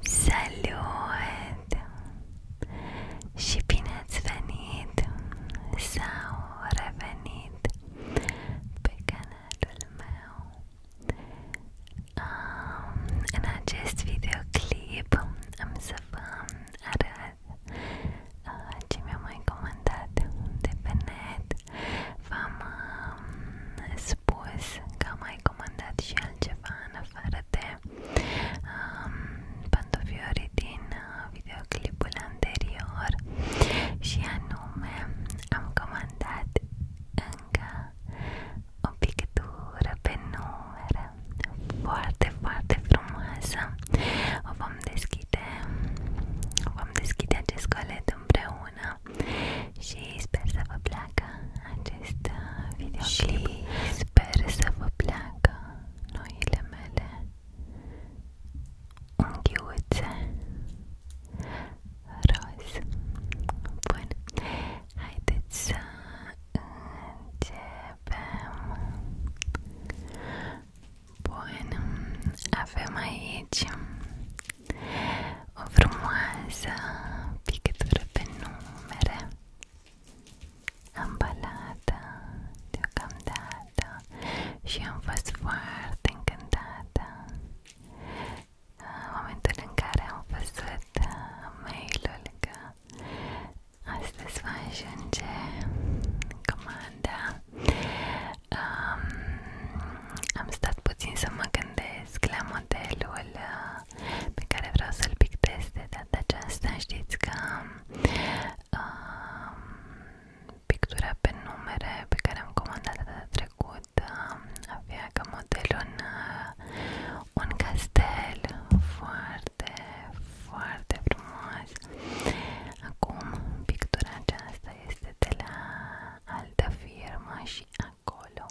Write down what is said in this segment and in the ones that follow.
Salut! Și bine ați venit sau revenit pe canalul meu. Um, în acest videoclip am să vă arăt uh, ce mi-au mai comandat de pe net V-am uh, spus că mai comandat și altceva în afară de um, uh, din videoclipul anterior și anume am comandat încă o pictură pe numere foarte, foarte frumoasă. O vom deschide, vom deschide acest colet împreună împreună și sper să vă placă acest uh, videoclip și sper să vă placă noile mele unghiuțe roz. Bun, haideți să începem. Bun, avem aici o frumoasă pictură pe numere ambalată deocamdată și am fost foarte încântată în momentul în care am văzut mail-ul că astăzi va ajunge comanda um, am stat puțin să mă gândesc la modelul uh, pe care vreau să-l pictez de data aceasta știți că um, pictura pe numere pe care am comandat data trecută uh, avea ca model un, un castel foarte, foarte frumos Acum pictura aceasta este de la altă firmă și acolo.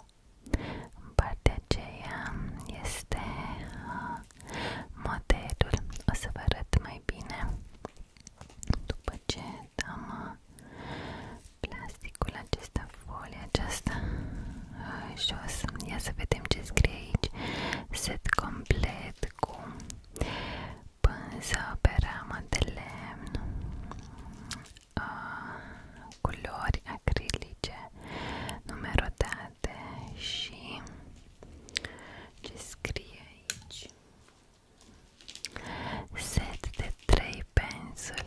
În partea aceea este uh, modelul. O să vă arăt mai bine după ce dăm uh, plasticul acesta, folia aceasta uh, jos. Ia să vedem ce scrie aici. Set complet cu pânză pe ramă de lemn uh, culori acrilice numerotate și ce scrie aici set de trei pensule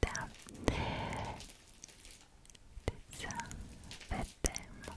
da deci să vedem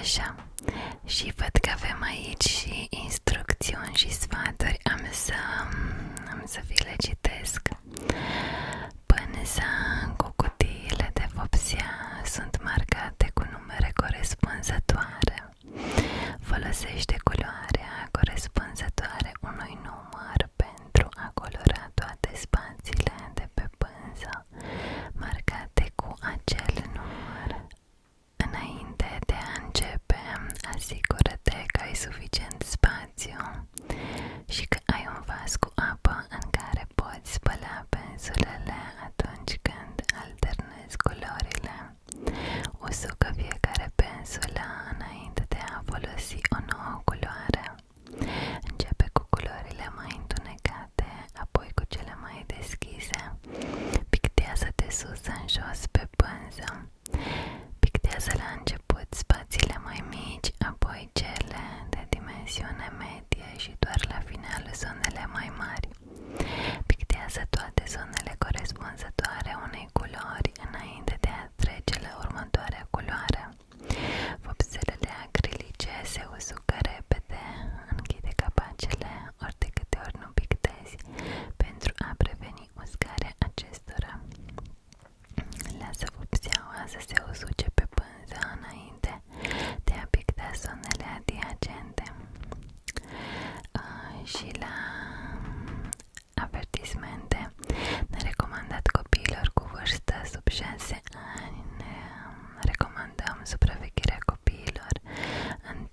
Așa, și văd că avem aici și instrucțiuni și sfaturi, am să, am să vi le citesc mare. cu cutiile de sunt marcate cu numere corespunzătoare. Folosește culoarea corespunzătoare unui număr pentru a colora toate spațiile de pe pânză marcate cu acel număr. Înainte de a începe, asigură-te că ai suficient spațiu și că ai un vas cu apă în care poți spăla pensulele atunci când alternezi culorile. Usucă fiecare pensulă înainte de a folosi o nouă culoare. Începe cu culorile mai întunecate, apoi cu cele mai deschise. Pictează de sus în jos pe pânză. Pictează la început început spațiile mai mici, apoi cele de dimensiune medie și doar la final zonele mai mari. Pictează toate zonele corespunzătoare unei culori înainte de a trece la următoarea culoare. Vopselele acrilice se usucă repede, închide capacele ori de câte ori nu pictezi pentru a preveni uscarea acestora. Lasă vopseaua să se usuce pe pânză înainte de a picta zonele adiacente uh, și la mm, avertismente ne recomandat copiilor cu vârstă sub 6 ani ne mm, recomandăm copiilor în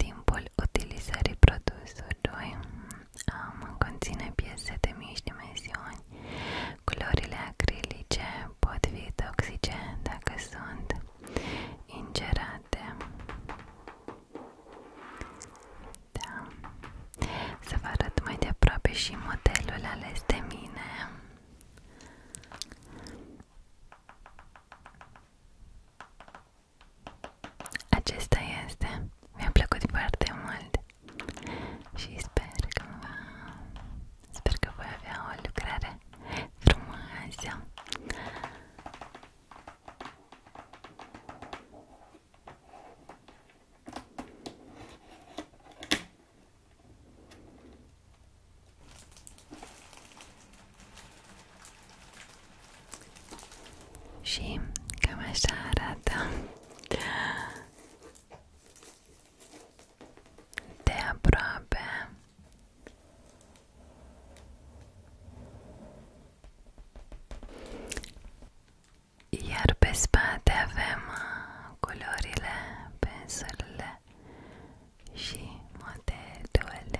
utilizării produsului um, conține piese de mici dimensiuni Culorile acrilice pot fi toxice dacă da. Să vă mai de aproape și modelul ales mine. Acesta este. Mi-a plăcut foarte mult și sper că va, sper că voi avea o lucrare frumoasă și cam așa arată de aproape iar pe spate avem uh, culorile, pensulele și modelul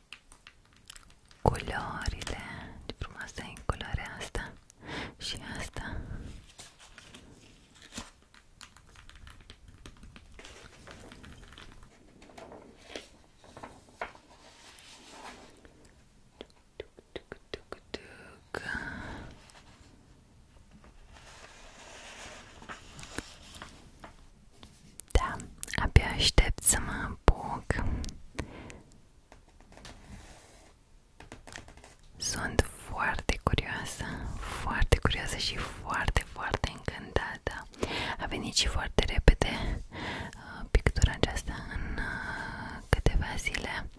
culorile, ce frumoasă e culoarea asta și asta Da, abia aștept să mă apuc. Sunt foarte curioasă, foarte curioasă și foarte, foarte încântată. A venit și foarte repede uh, pictura aceasta în uh, câteva zile.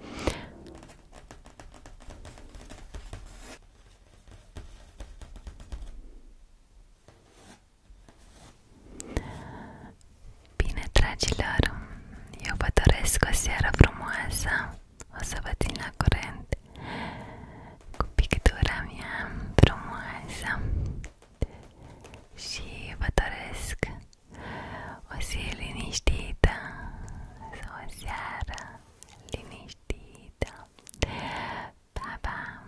Bine, dragilor, eu vă doresc o seară frumoasă O să vă țin la curent cu pictura mea frumoasă Și vă doresc o zi liniștită o seară liniștită Pa, pa!